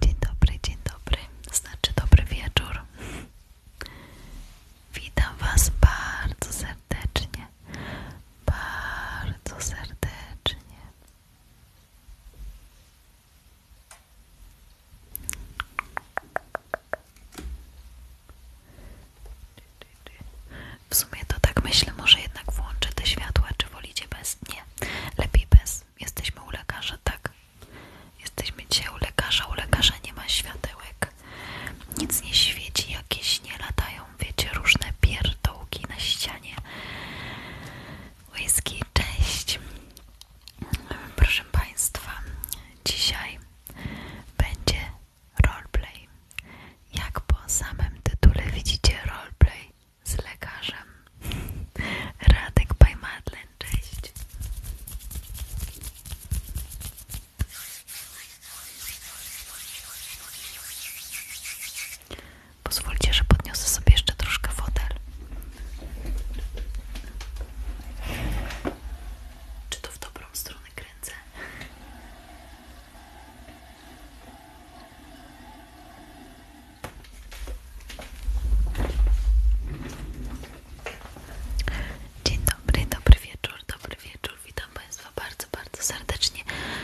Dzień dobry, dzień dobry, znaczy dobry wieczór. Witam Was bardzo serdecznie, bardzo serdecznie w sumie to tak myślę, może jednak włączę te światła, czy wolicie bez? Nie, lepiej bez. Jesteśmy u lekarza, tak. Jesteśmy dzisiaj u lekarza, u lekarza nie ma światełek. Nic nie świeci, jakieś nie latają wiecie, różne pierdołki na ścianie. Whisky, cześć! Proszę Państwa, dzisiaj będzie roleplay. Jak po samym tytule widzicie, roleplay z lekarzem. Radek by cześć! Pozwólcie, że podniosę sobie jeszcze troszkę wodę. Czy to w dobrą stronę kręcę? Dzień dobry, dobry wieczór, dobry wieczór. Witam Państwa bardzo, bardzo serdecznie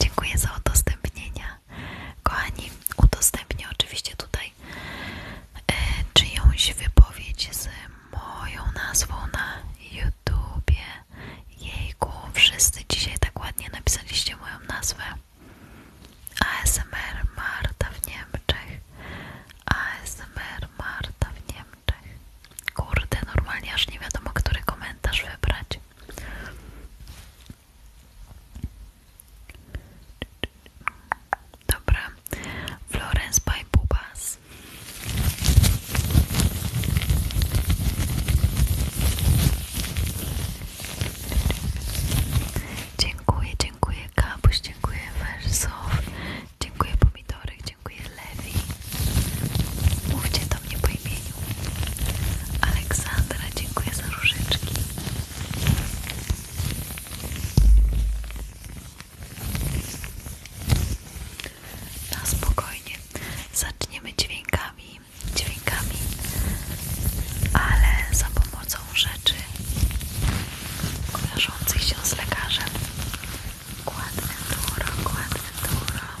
Dziękuję za udostępnienia. Kochani, udostępnię oczywiście tutaj e, czyjąś wypowiedź z moją nazwą na YouTubie. Jejku, wszyscy dzisiaj tak ładnie napisaliście moją nazwę. ASMR Marta w Niemczech. ASMR Marta w Niemczech. Kurde, normalnie aż nie wiadomo, który komentarz wybrać. Dobra, Florence by Bubas. Dziękuję, dziękuję dziękuję Kapuś, dziękuję Wersow, dziękuję Pomidorek, dziękuję Lewi. Mówcie do mnie po imieniu. Aleksandra, dziękuję za różyczki. Na spokojnie. Zaczniemy dźwiękami, dźwiękami, ale za pomocą rzeczy kojarzących się z lekarzem. Kład Ventura, Kład Ventura. Kład Ventura.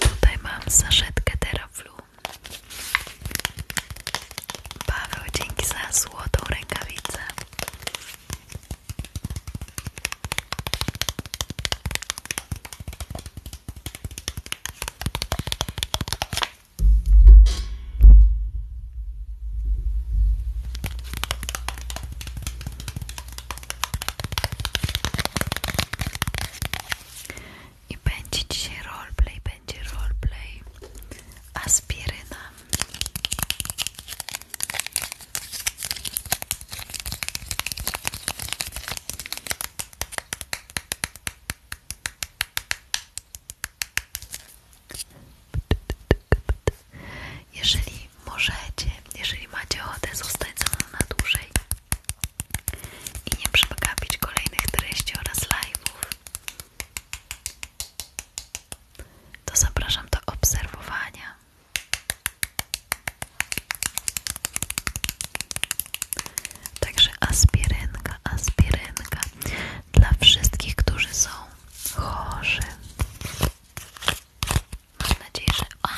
Tutaj mam saszetkę Teraflu. Paweł, dzięki za złotą rękawicę. I będzie dzisiaj roleplay, będzie roleplay aspiryna. Jeżeli możecie, jeżeli macie ochotę zostać na dłużej, i nie przegapić kolejnych treści oraz live'ów, to zapraszam do obserwowania. Także aspirynka, aspirynka dla wszystkich, którzy są chorzy. Mam nadzieję, że... A,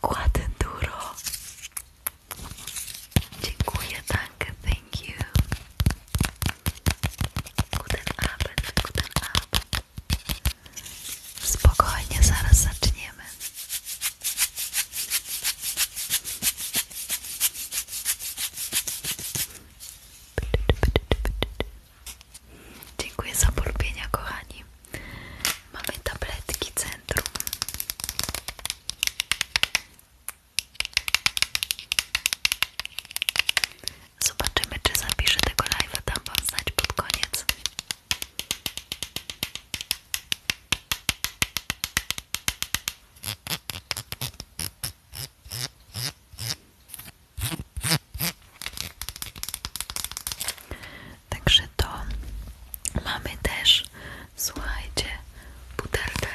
kładę duro. Dziękuję, danke, thank you. Guten Abend, guten Abend. Spokojnie, zaraz zaczniemy. Dziękuję za polubienia, kochani. Mamy tabletki centrum. Zobaczymy, czy zapiszę tego live'a, dam wam znać pod koniec. Także to mamy też, słuchajcie, butelkę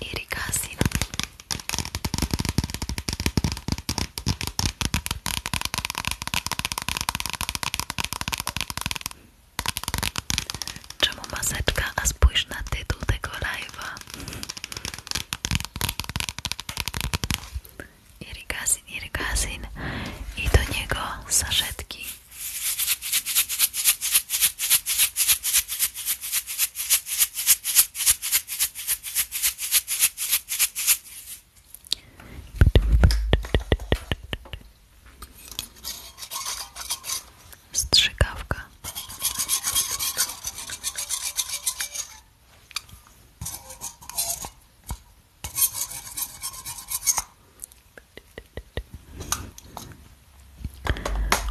irrigacin. Czemu maseczka? A spójrz na tytuł tego live'a irygazin, irygazin i do niego saszetki. Strzykawka.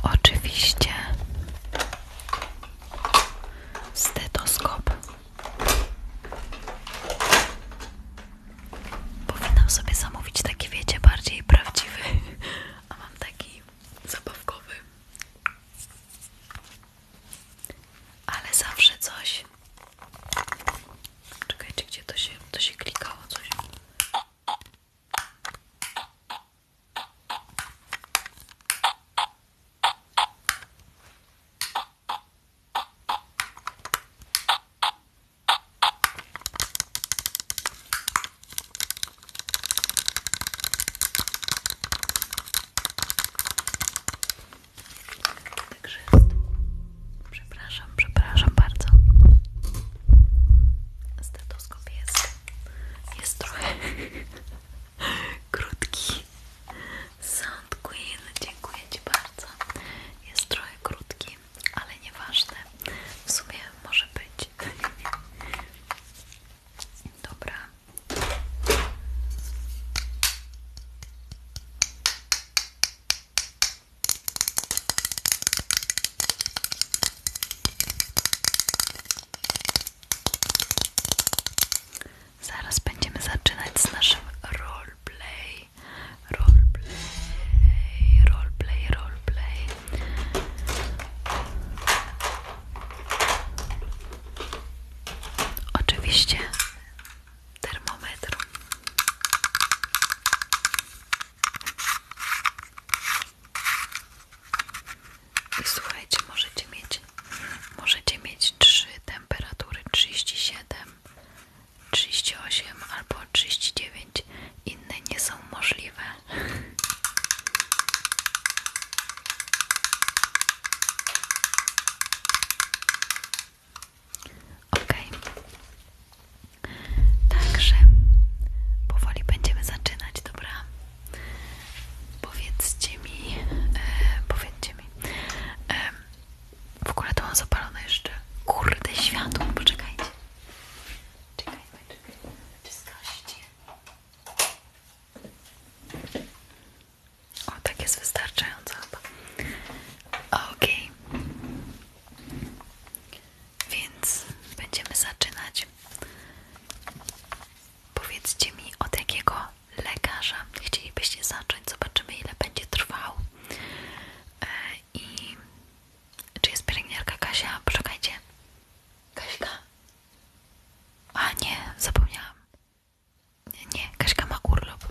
Oczywiście stetoskop. Powinnam sobie zamówić taki, wiecie, bardziej prawdziwy, a mam taki zabawkowy. Ale zawsze coś Czekajcie, gdzie to się, to się klikało coś. Także Przepraszam, przepraszam bardzo. Stetoskop jest. Jest trochę krótki. Sound Queen, dziękuję Ci bardzo. Jest trochę krótki, ale nieważne. W sumie może być. Dobra. Zaraz będziemy zaczynać z naszym roleplay. Roleplay, roleplay, roleplay. Oczywiście termometr. I słuchajcie, możecie mieć, możecie mieć trzy temperatury 37, osiem, albo dziewięć. Inne nie są możliwe. Ok. Także powoli będziemy zaczynać, dobra? Powiedzcie mi, e, mi. E, w ogóle to mam zapalone jeszcze. Kurde światło, poczekajcie. Czekajmy, czekajmy. Czy O, tak jest wystarczająco chyba. Okej. Więc będziemy zaczynać. Powiedzcie mi, od jakiego lekarza chcielibyście zacząć. Zobaczymy, ile będzie trwał. E, I czy jest pielęgniarka Kasia? proszę Poczekajcie. Kasia. A nie, zapomniałam. Nie, Kaśka ma urlop.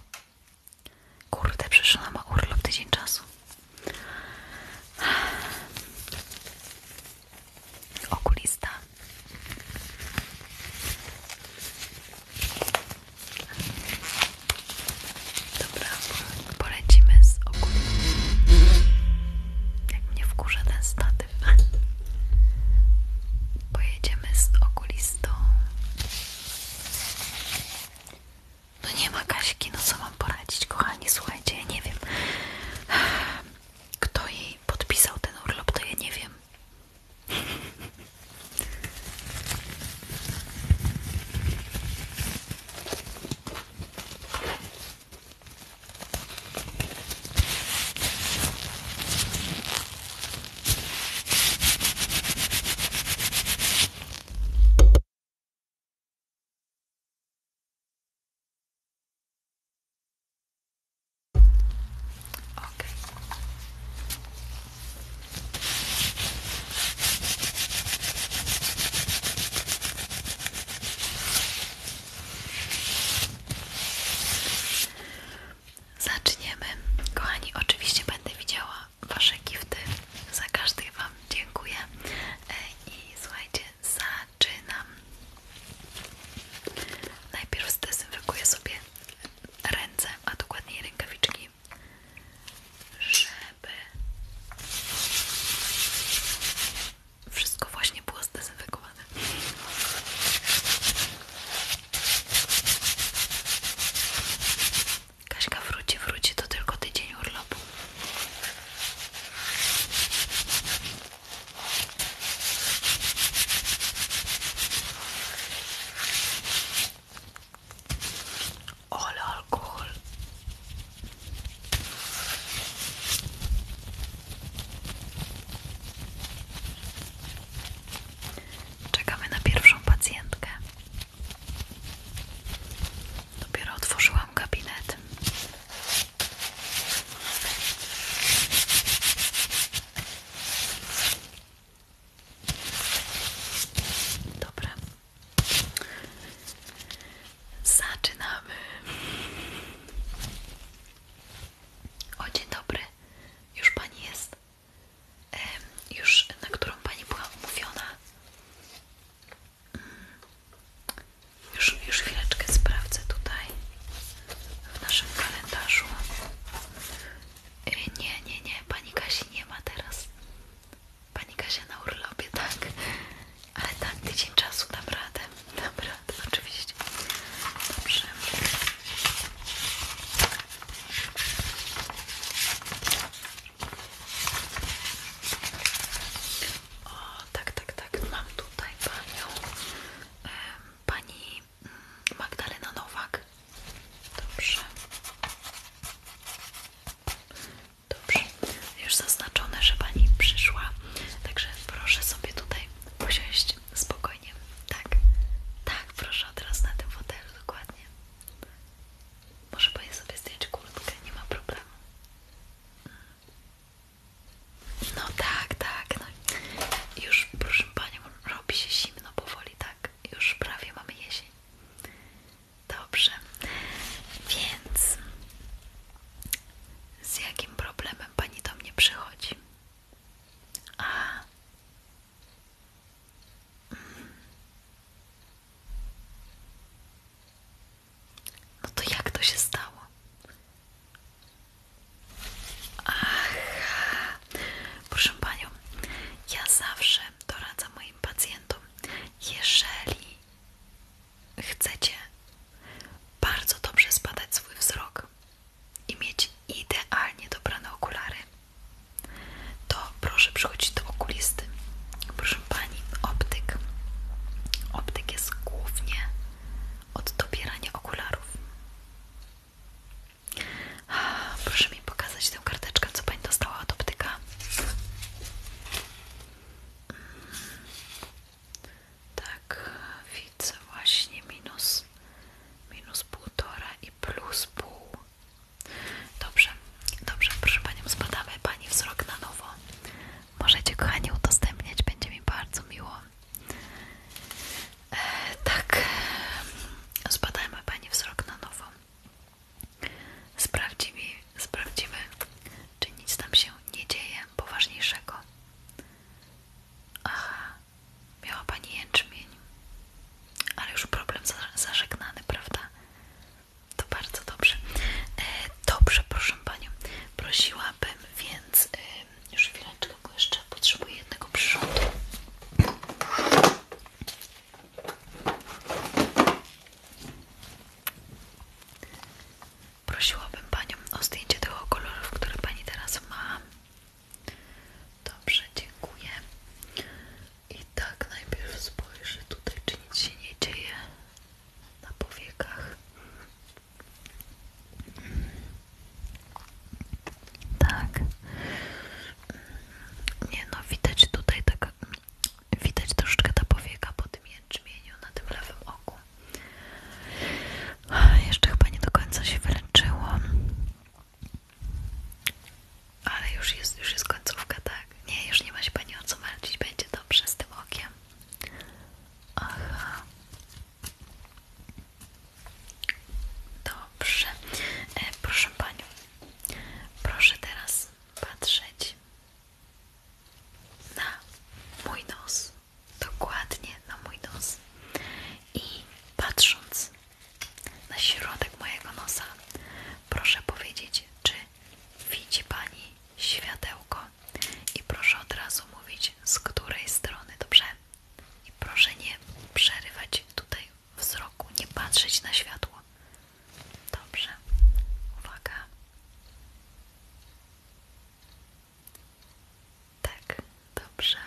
Kurde, przecież ona ma urlop tydzień czasu. Okulista. Dobra, polecimy z okulistą. Jak mnie wkurza ten statyw. Pojedziemy z okulistą no nie ma Kaśki, no co mam poradzić, kochani, słuchajcie, ja nie wiem. Kto jej podpisał ten urlop, to ja nie wiem. Okay. Zaczniemy. Kochani, oczywiście będę widziała Wasze gifty. Za każdy Wam dziękuję. E, I słuchajcie, zaczynam. Najpierw zdezynfekuję sobie ręce, a dokładniej rękawiczki, żeby wszystko właśnie było zdezynfekowane. Kaśka wróci, wróci, to tylko tydzień urlopu. Ole alkohol. Czekamy na pierwszą pacjentkę. Dopiero otworzyłam gabinet. Dobra. Zaczynamy. O, dzień dobry. Już pani jest już na którą Pani była umówiona. Mm, już, już chwileczkę sprawdzę tutaj w naszym kalendarzu. E, nie, nie, nie, Pani kasia nie ma teraz. Pani Kasia na urlopie, tak. Ale tak, tydzień czasu dam radę. Dam radę, oczywiście. Dobrze. O, tak, tak, tak. Mam tutaj panią. Pani mm, Magdalena Nowak. Dobrze. Dobrze. Już zaznaczone, że pani przyszła. Także proszę sobie tutaj posiąść spokojnie. Tak, tak, proszę od razu na tym fotelu, dokładnie. Może pani sobie zdjąć kurtkę, nie ma problemu. No tak, tak. No. Już proszę panią, robi się zimno powoli, tak? Już prawie mamy jesień. Dobrze. Więc z jakim problemem pani do mnie przychodzi? A, no to jak to się stało? Ach, proszę Panią, ja zawsze doradzam moim pacjentom, jeżeli chcecie bardzo dobrze zbadać swój wzrok i mieć idealnie dobrane okulary, to proszę przychodzić do okulisty. Proszę Pani, optyk. Optyk jest głównie od dobierania okularów. Proszę mi pokazać tę karteczkę, co Pani dostała od optyka. Mm. Tak, widzę właśnie minus minus półtora i plus pół Dobrze, dobrze, proszę Panią, zbadamy Pani wzrok na nowo. Możecie, kochani, udostępniać, będzie mi bardzo miło. E, tak, zbadajmy Pani wzrok na nowo. Sprawdzimy, sprawdzimy, czy nic tam się nie dzieje poważniejszego. Aha, miała Pani jęczmień ale już problem zażegnany, prawda? To bardzo dobrze. E, dobrze, proszę Panią, prosiłabym więc, e, już chwileczkę, jeszcze potrzebuję jednego przyrządu. Prosiłabym Panią o zdjęcie tych kolorów, które Pani teraz ma. Dobrze, dziękuję. I tak najpierw spojrzę tutaj, czy nic się nie dzieje na powiekach. Tak. Nie no, widać tutaj taka widać troszeczkę ta powieka po tym jęczmieniu na tym lewym oku. Jeszcze chyba nie do końca się wyręczyło. Ale już jest, już jest końcówka, tak? Nie, już nie ma się pani o co martwić, będzie dobrze z tym okiem. Aha. Dobrze. E, proszę panią, proszę teraz patrzeć na mój nos. Dokładnie na mój nos. I patrząc na środek mojego nosa. Proszę powiedzieć, czy widzi Pani światełko i proszę od razu mówić z której strony, dobrze? I proszę nie przerywać tutaj wzroku, nie patrzeć na światło. Dobrze, uwaga. Tak, dobrze.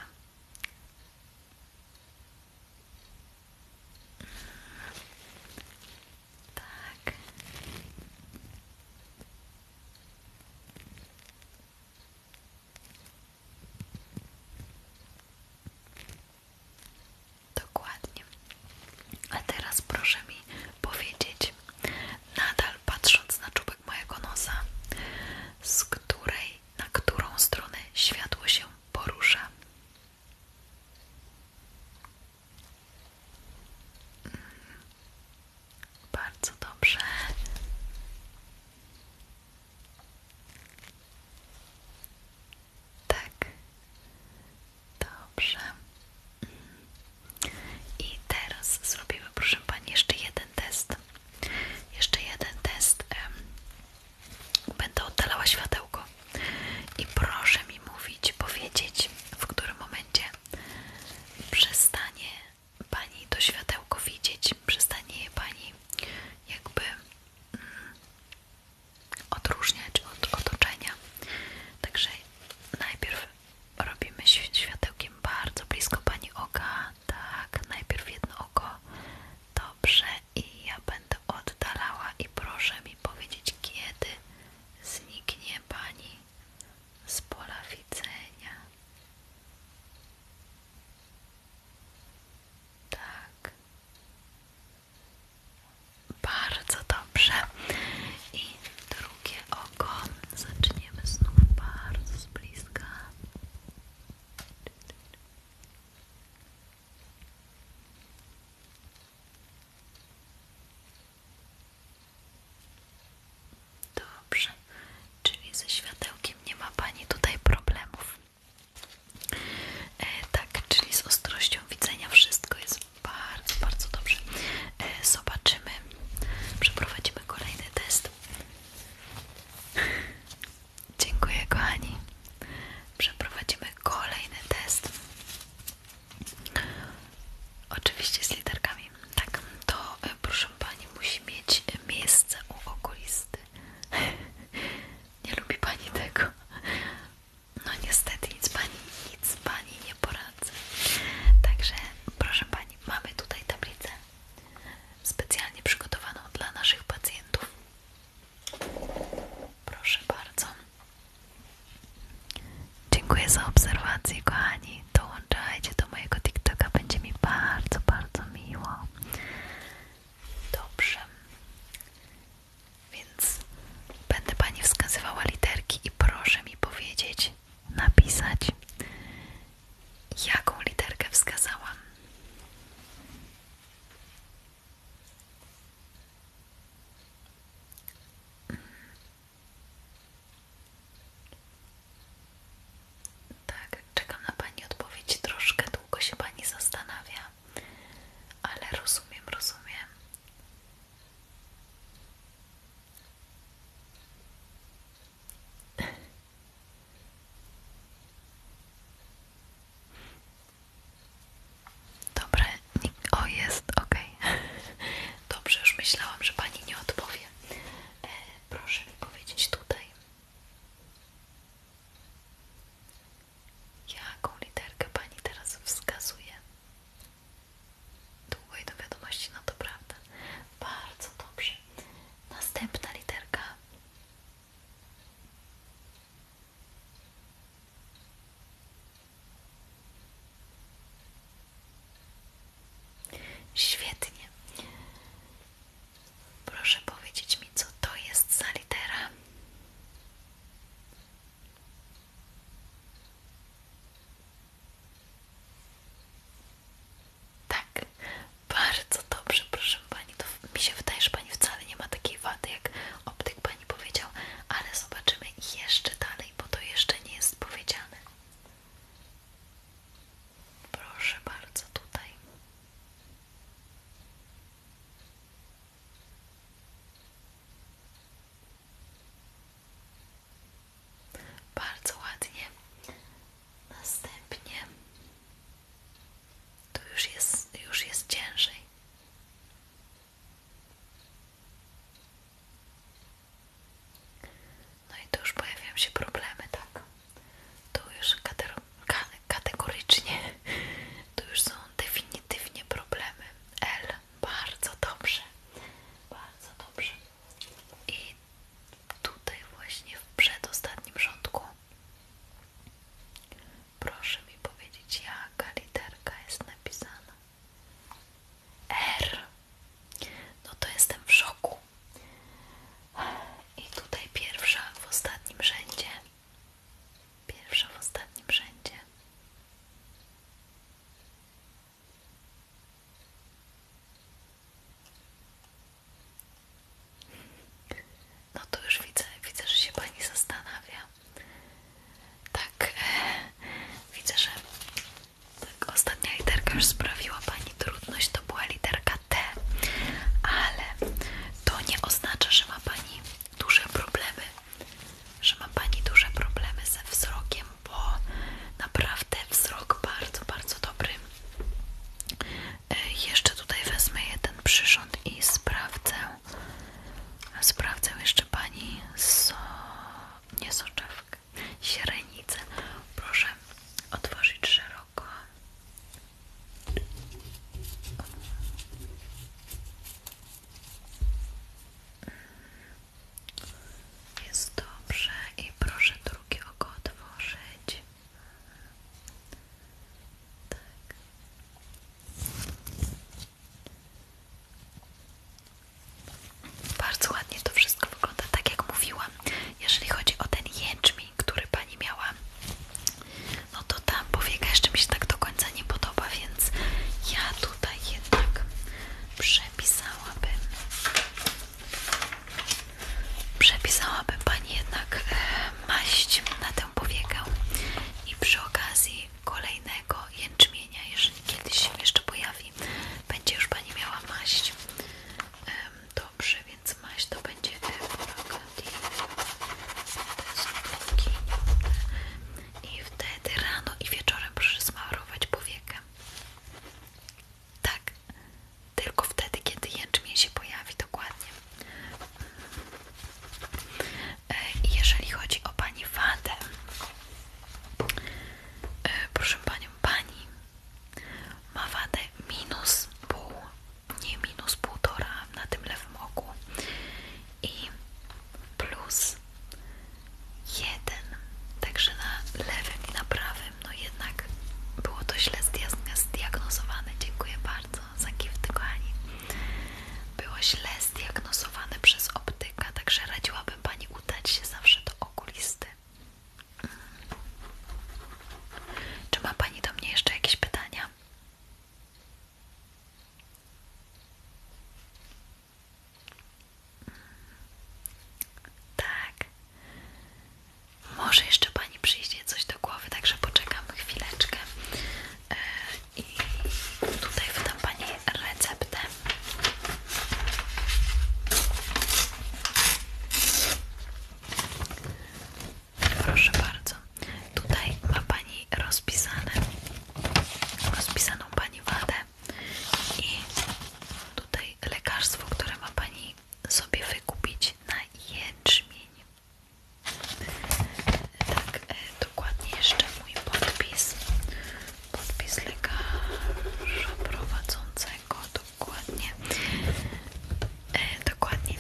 Tak. Dokładnie. A teraz proszę mi powiedzieć, nadal patrząc na czubek mojego nosa, z której, na którą stronę światło się porusza. Bardzo dobrze. Tak. Dobrze. I teraz zrobimy, proszę Pani, jeszcze jeden test. Jeszcze jeden test. Będę oddalała światełko i proszę mi mówić, powiedzieć, w którym momencie przestanie Pani to światełko widzieć, przestanie je Pani jakby mm, odróżniać od otoczenia. Także najpierw robimy światełkiem bardzo blisko Pani oka, tak, najpierw jedno oko, dobrze i ja będę oddalała i proszę mi powiedzieć, kiedy zniknie Pani z pola widzenia. Tak. Bardzo dobrze. I drugie oko. Zaczniemy znów bardzo blisko bliska. Dobrze, czyli ze światełkiem nie ma Pani tutaj problemów. E, tak, czyli z ostrością widzenia wszystko jest bardzo, bardzo dobrze. E, zobaczymy, przeprowadzimy kolejny test. Dziękuję kochani przeprowadzimy kolejny test. Oczywiście z literkami. Tak, to e, proszę Pani musi mieć miejsce u okulisty. nie lubi Pani tego. No niestety nic Pani, nic Pani nie poradzi. Także proszę Pani, mamy tutaj tablicę specjalnie przygotowaną dla naszych pacjentów. Proszę bardzo. Dziękuję za obserwację, kochani. Dołączajcie do mojego TikToka, będzie mi bardzo, bardzo miło. Dobrze. Więc będę Pani wskazywała literki i proszę mi powiedzieć, napisać, jaką literkę wskazałam. Tak, czekam na Pani odpowiedź. Troszkę długo się Pani zastanawia, ale rozumiem, rozumiem. Dobra, o jest, ok. Dobrze, już myślałam, że pani nie odpowie. E, proszę mi powiedzieć tutaj. Jaką literkę pani teraz wskazuje? Długa i do wiadomości, no to prawda. Bardzo dobrze. Następna literka. Świetnie. Proszę powiedzieć mi, co to jest za litera. Tak, bardzo dobrze, proszę pani. To mi się wydaje, że pani wcale nie ma takiej wady jak optyk pani nie powiedział, ale zobaczymy jeszcze dalej, bo to jeszcze nie jest powiedziane. Proszę bardzo, tutaj. Bardzo ładnie. Następnie tu już jest, już jest ciężej. No i tu już pojawiają się problemy, tak? Tu już ka kategorycznie, tu już są definitywnie problemy. L, bardzo dobrze, bardzo dobrze. I tutaj właśnie w przedostatnim rządku Proszę mi powiedzieć, jaka literka jest napisana. R. No to jestem w szoku. I tutaj pierwsza w ostatnim rzędzie. Pierwsza w ostatnim rzędzie. No to już widzę, widzę, że się pani zastanawia. Tak, e, widzę, że tak ostatnia literka już sprawiła Pani trudność, to była literka T, ale to nie oznacza, że ma Pani duże problemy, że ma Pani duże problemy ze wzrokiem, bo naprawdę wzrok bardzo, bardzo dobry. E, jeszcze tutaj wezmę jeden przyrząd i sprawdzę. Sprawdzę jeszcze pani so... nie soczewkę, sierenicę. Proszę otworzyć szeroko. Jest dobrze i proszę drugie oko otworzyć. Tak. Bardzo ładnie to wszystko wygląda, tak jak mówiłam. Jeżeli chodzi o ten jęczmień, który pani miała, no to ta powieka jeszcze mi się tak do końca nie podoba, więc ja tutaj jednak przepisałabym. Przepisałabym pani jednak e, maść na tę powiekę i przy okazji kolejne jęczmienia, jeżeli kiedyś się jeszcze pojawi, będzie już Pani miała maść. Dobrze, więc maść to będzie Evogadi i wtedy rano i wieczorem proszę smarować powiekę. Tak, tylko wtedy, kiedy jęczmień się pojawi, dokładnie. E, jeżeli chodzi o Pani Wadę, e, proszę Panią, Pani ma wadę minus pół, nie minus półtora na tym lewym oku i plus jeden, także na lewym i na prawym, no jednak było to źle zdiagnozowane, dziękuję bardzo za gift kochani, było źle zdiagnozowane przez optyka, także radziłabym Pani udać się zawsze do okulisty. Mm. Czy ma Pani do mnie jeszcze jakieś pytania? Tak. Może jeszcze Pani przyjdzie coś do głowy, także poczekamy chwileczkę. E, i tutaj wydam Pani receptę. Proszę bardzo. Tutaj ma Pani rozpisane, rozpisaną Pani wadę i tutaj lekarstwo, które ma Pani sobie wykupić na jęczmień tak e, dokładnie jeszcze mój podpis podpis lekarza prowadzącego dokładnie e, dokładnie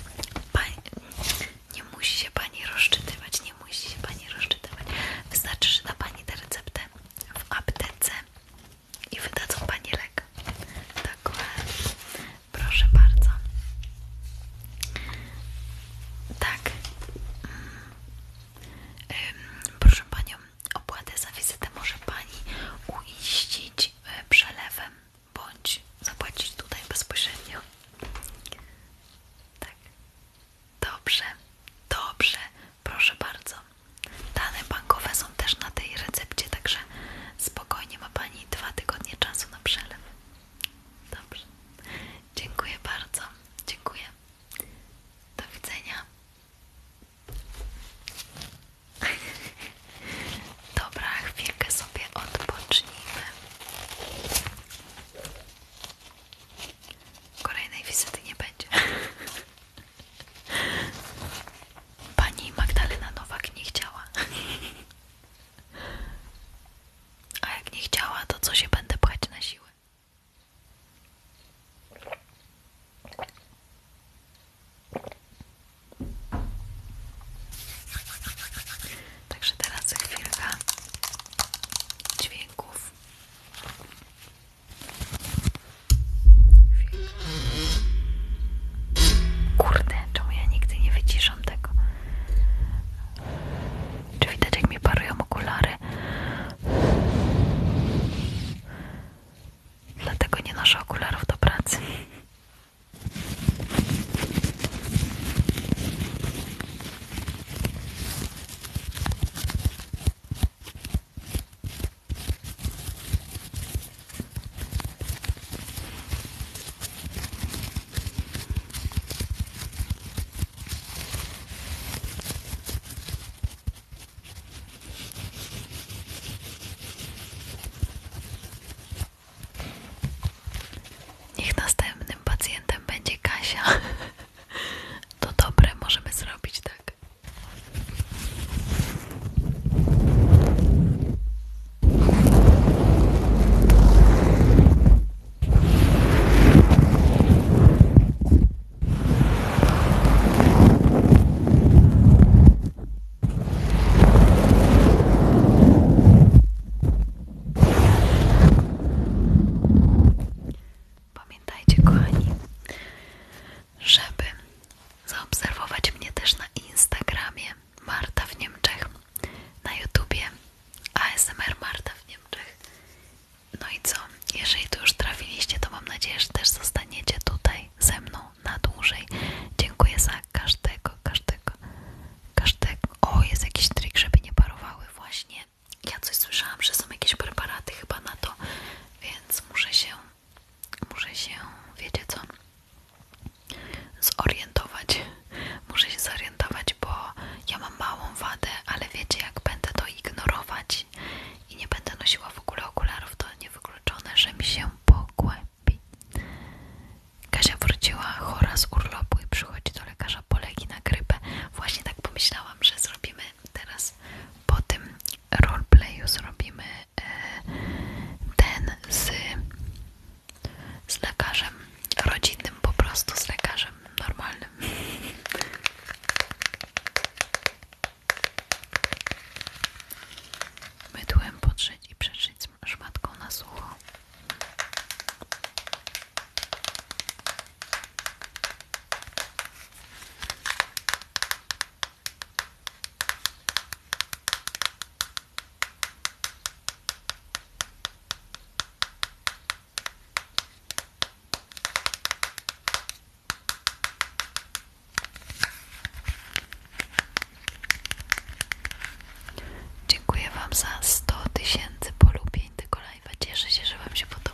nie musi się Pani rozczytywać nie musi się Pani rozczytywać wystarczy, że na Pani tę receptę w aptece i wydadzą Pani lek dokładnie proszę bardzo tak mm. Proszę Panią, opłatę za wizytę może Pani uiścić e, przelewem bądź zapłacić tutaj bezpośrednio. Tak. Dobrze, dobrze, proszę bardzo. Dane bankowe są też na tej recepcie, także spokojnie ma Pani dwa tygodnie czasu na przelew. Dobrze. Dziękuję bardzo. Dziękuję. Do widzenia. Dobra, chwilkę sobie odpocznijmy. Kolejnej wizyty nie będzie. Pani Magdalena Nowak nie chciała. A jak nie chciała, to co się będę pchać na siłę? Także teraz chwilka dźwięków. Kurde, czemu ja nigdy nie wyciszam tego? Czy widać mi parują okulary? Dlatego nie noszę okularów do pracy. Niech następnym pacjentem będzie Kasia. To dobre, możemy zrobić tak. Pamiętajcie, kochani, żeby zaobserwować mnie też na Instagramie Marta w Niemczech, na YouTubie ASMR Marta w Niemczech no i co? Jeżeli tu już trafiliście, to mam nadzieję, że też zostaniecie tutaj ze mną na dłużej. Dziękuję za każdego, każdego, każdego. O, jest jakiś trik, żeby nie parowały właśnie. Ja coś słyszałam, że są jakieś preparaty chyba na to, więc muszę się, muszę się, wiecie co, zorientować. Muszę się zorientować, bo ja mam małą wadę, ale wiecie, jak będę to ignorować i nie będę nosiła w ogóle okularów, to niewykluczone, że mi się pogłębi. Kasia wróciła chora z urlopu i przychodzi do lekarza po na grypę. Właśnie tak pomyślałam, że zrobimy teraz po tym roleplayu zrobimy e, ten z lekarzem rodzinnym, po prostu z lekarzem normalnym. Mydłem podszyć i przeczyć szmatką na sucho. Dziękuję Wam za sto tysięcy polubień tego live'a. Cieszę się, że Wam się podoba.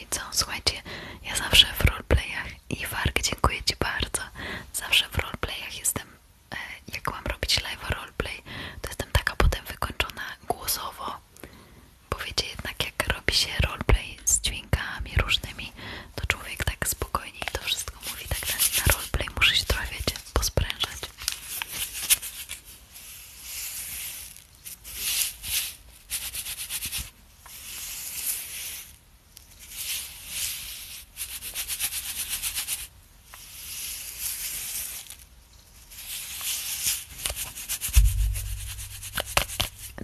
czyli co? Słuchajcie, ja zawsze w roleplayach i Warg, dziękuję Ci bardzo. Zawsze w roleplayach jestem, e, jak mam robić live roleplay, to jestem taka potem wykończona głosowo. Bo wiecie, jednak jak robi się roleplay z dźwiękami różnymi, to człowiek tak spokojniej to wszystko mówi, tak na roleplay muszę się trochę, wiecie, posprężać.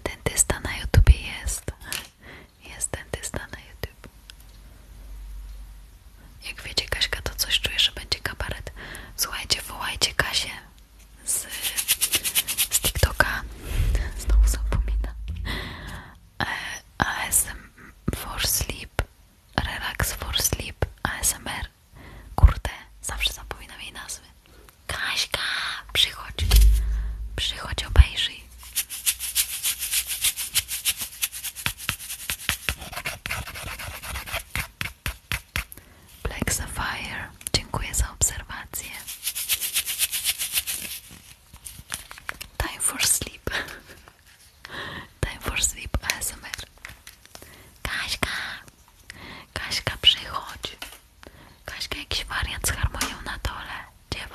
Dentysta na YouTube jest. Jest dentysta na YouTube. Jak wiecie Kaśka, to coś czuję, że będzie kabaret. Słuchajcie, wołajcie Kasię z, TikToka, znowu zapomina e, ASM for sleep, relax for sleep, ASMR, kurde, zawsze zapominam jej nazwy. Kaśka, przychodź, przychodź, obejrzyj. Black Sapphire. Dziękuję za obserwację. Time for sleep. Time for sleep ASMR. Kaśka! Kaśka, przychodź. Kaśka, jakiś wariant z harmonią na dole. Gdzie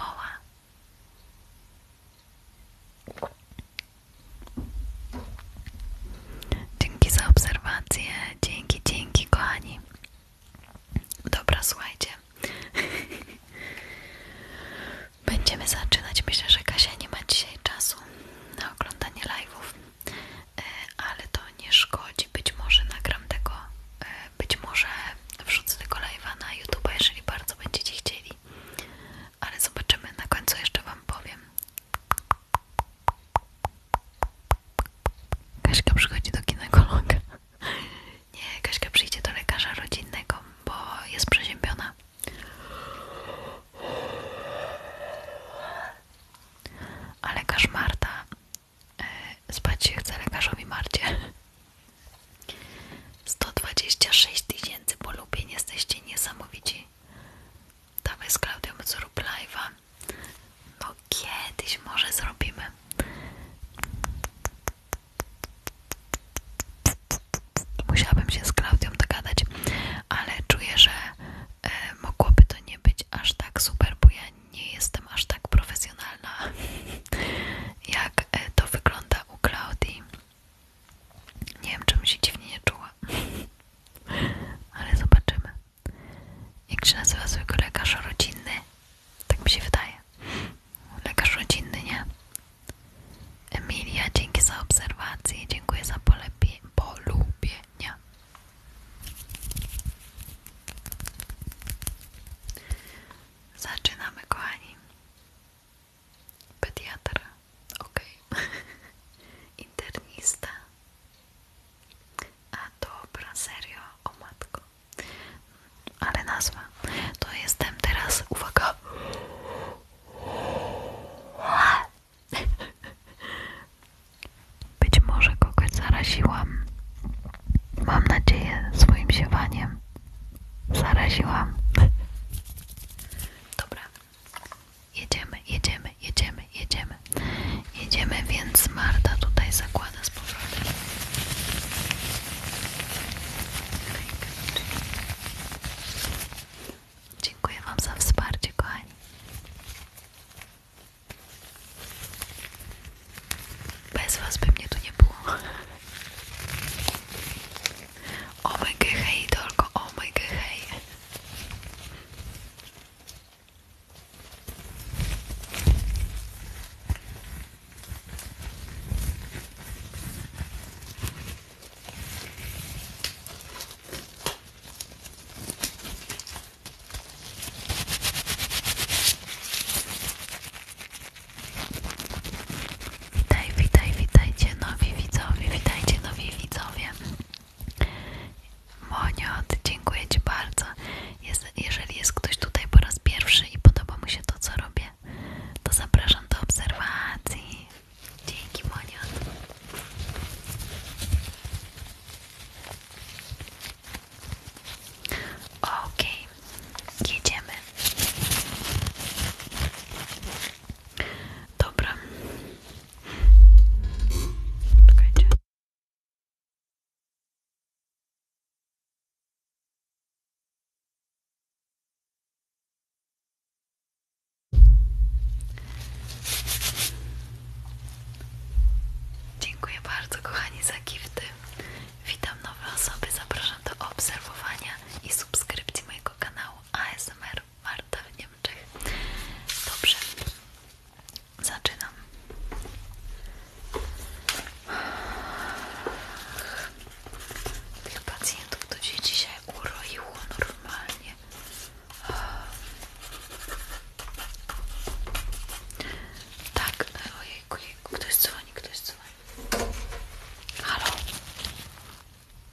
Dzięki za obserwację. Dzięki, dzięki, kochani. Dobra, słuchajcie. Będziemy zaczynać. Myślę, że Kasia nie ma dzisiaj czasu na oglądanie live'ów, e, ale to nie szkodzi. Być może nagram tego, e, być może wrzucę tego live'a na YouTube, jeżeli bardzo będziecie chcieli. Ale zobaczymy, na końcu jeszcze Wam powiem. Kaśka przychodzi do ginekologa. Nie, Kaśka przyjdzie do lekarza rodzinnego, bo jest przeziębiona. A lekarz Marta e, spać się chce lekarzowi Marcie. 126 tysięcy polubień, jesteście niesamowici. Dawaj z Klaudią z Rub Live'a. No kiedyś może zrobimy. Musiałabym się z Klaudią dogadać, ale czuję, że e, mogłoby to nie być aż tak super, bo ja nie jestem aż tak profesjonalna, jak e, to wygląda u Klaudii. Nie wiem, czemu się dziwnie nie czuła, ale zobaczymy. Jak się nazywa zwykły lekarz rodzinny? Tak mi się wydaje. Lekarz rodzinny, nie? Emilia, dzięki za obserwację. Dziękuję za polubie, polubienia. Zaczynamy, kochani. Pediatra. ok. Internista. A dobra, serio, o matko. Ale nazwa. To jestem teraz, uwaga. Być może kogoś zaraziłam. Mam nadzieję swoim siewaniem. Zaraziłam. Dobra. Jedziemy, jedziemy, jedziemy, jedziemy jedziemy. więc Marta tutaj zakłada z powrotem. Dziękuję Wam za wsparcie, kochani. Bez Was by mnie tu nie było. O mój hej, tylko o mój hej. Witaj, witaj, witajcie nowi widzowie, witajcie nowi widzowie. Moniot, dziękuję Ci bardzo. jeżeli jest ktoś tutaj po raz pierwszy i podoba mu się to, co robię, to zapraszam do obserwacji. Dzięki, Moniot. Okej, okay. jedziemy. Dobra. Czekajcie. Dziękuję bardzo kochani za gifty. Witam nowe osoby, zapraszam do obserwowania i subskrypcji mojego kanału ASMR Marta w Niemczech. Dobrze, Zaczynam. Tych pacjentów to się dzisiaj uroiło normalnie. Tak, ojejku, ojejku, ktoś dzwoni, ktoś dzwoni. Halo?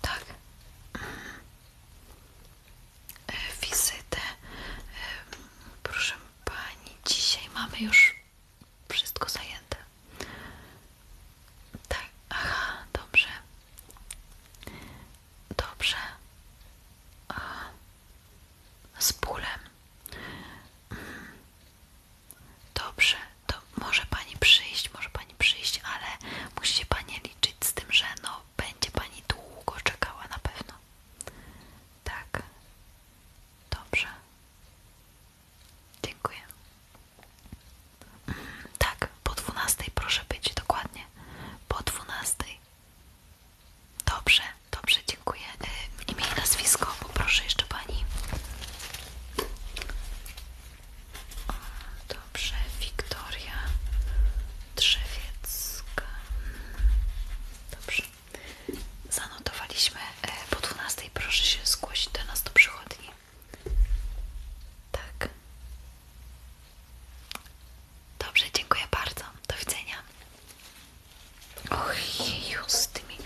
Tak. Mm. E, wizytę. E, proszę Pani, dzisiaj mamy już wszystko zajęte. Tak, aha, dobrze. Dobrze. Aha. Z bólem. Mm. Dobrze, to może pani przyjść, może pani przyjść, ale musicie pani liczyć z tym, że no będzie pani długo czekała na pewno. Tak, Dobrze. Dziękuję. Mm, tak, po 12 proszę być dokładnie. Po 12. Dobrze, dobrze, dziękuję. Y, imię i nazwisko, poproszę jeszcze pani. Mm, dobrze, Wiktoria Drzewiecka. Mm, dobrze. Zanotowaliśmy e, po 12. Proszę się zgłosić do nas do Tak. Dobrze, dziękuję bardzo. Do widzenia. Och, jeju, z tymi,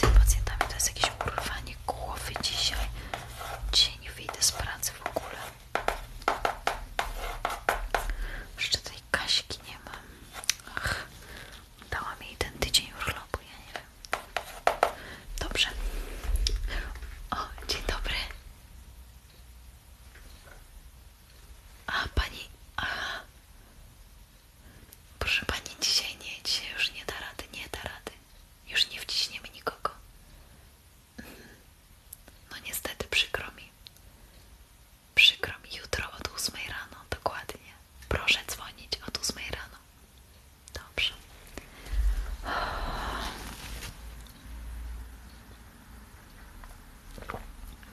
tymi pacjentami to jest jakieś urwanie głowy dzisiaj. Dzisiaj nie wyjdę z pracy w ogóle. Jeszcze ten tej Kaśki nie mam. Ach, dałam jej ten tydzień urlopu, ja nie wiem. Dobrze. O, dzień dobry. A pani. Aha. Proszę pani, dzisiaj nie, dzisiaj już nie da rady, nie da rady. Już nie wciśniemy nikogo. Mhm. No niestety przykro mi. Przykro mi, jutro od 8 rano, dokładnie. Proszę dzwonić od 8 rano. Dobrze.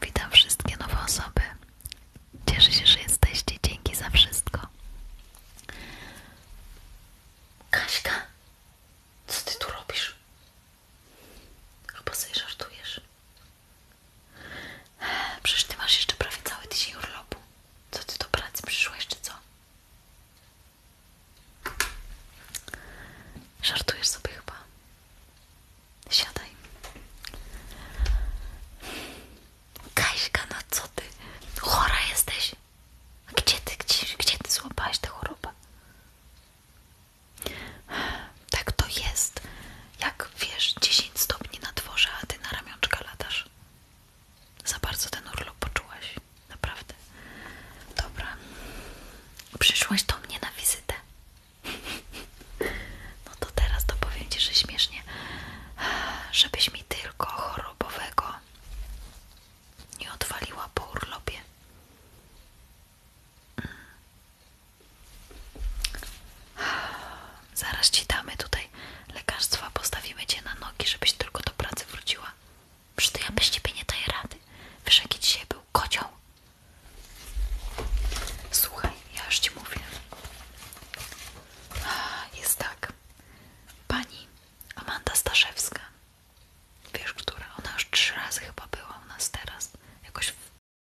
Witam wszystkie nowe osoby. Cieszę się, że jesteście. Dzięki za wszystko. Kaśka, co ty tu robisz? Chyba sobie żartujesz. Przecież ty masz jeszcze prawie cały tydzień urlopu. Co ty do pracy przyszłaś, czy co? Żartujesz sobie chyba. Siadaj. Kaśka, no co ty? Chora jesteś? Gdzie ty, gdzie, gdzie ty złapałaś tę chorobę? Tak to jest, jak wiesz, 10 stopni na dworze, a ty na ramionczka ladasz. Za bardzo ten urlop poczułaś, naprawdę. Dobra, przyszłaś do mnie na wizytę. No to teraz to powiem ci, że śmiesznie, żebyś mi tylko chorobowego nie odwaliła po urlopie. Zaraz ci damy tutaj lekarstwa, postawimy cię na nogi, żebyś tylko do pracy wróciła. Przy to ja bez ciebie nie daję rady. Wiesz, jaki dzisiaj był kocioł? Słuchaj, ja już ci mówię. Jest tak. Pani Amanda Staszewska. Wiesz, która? Ona już trzy razy chyba była u nas teraz. Jakoś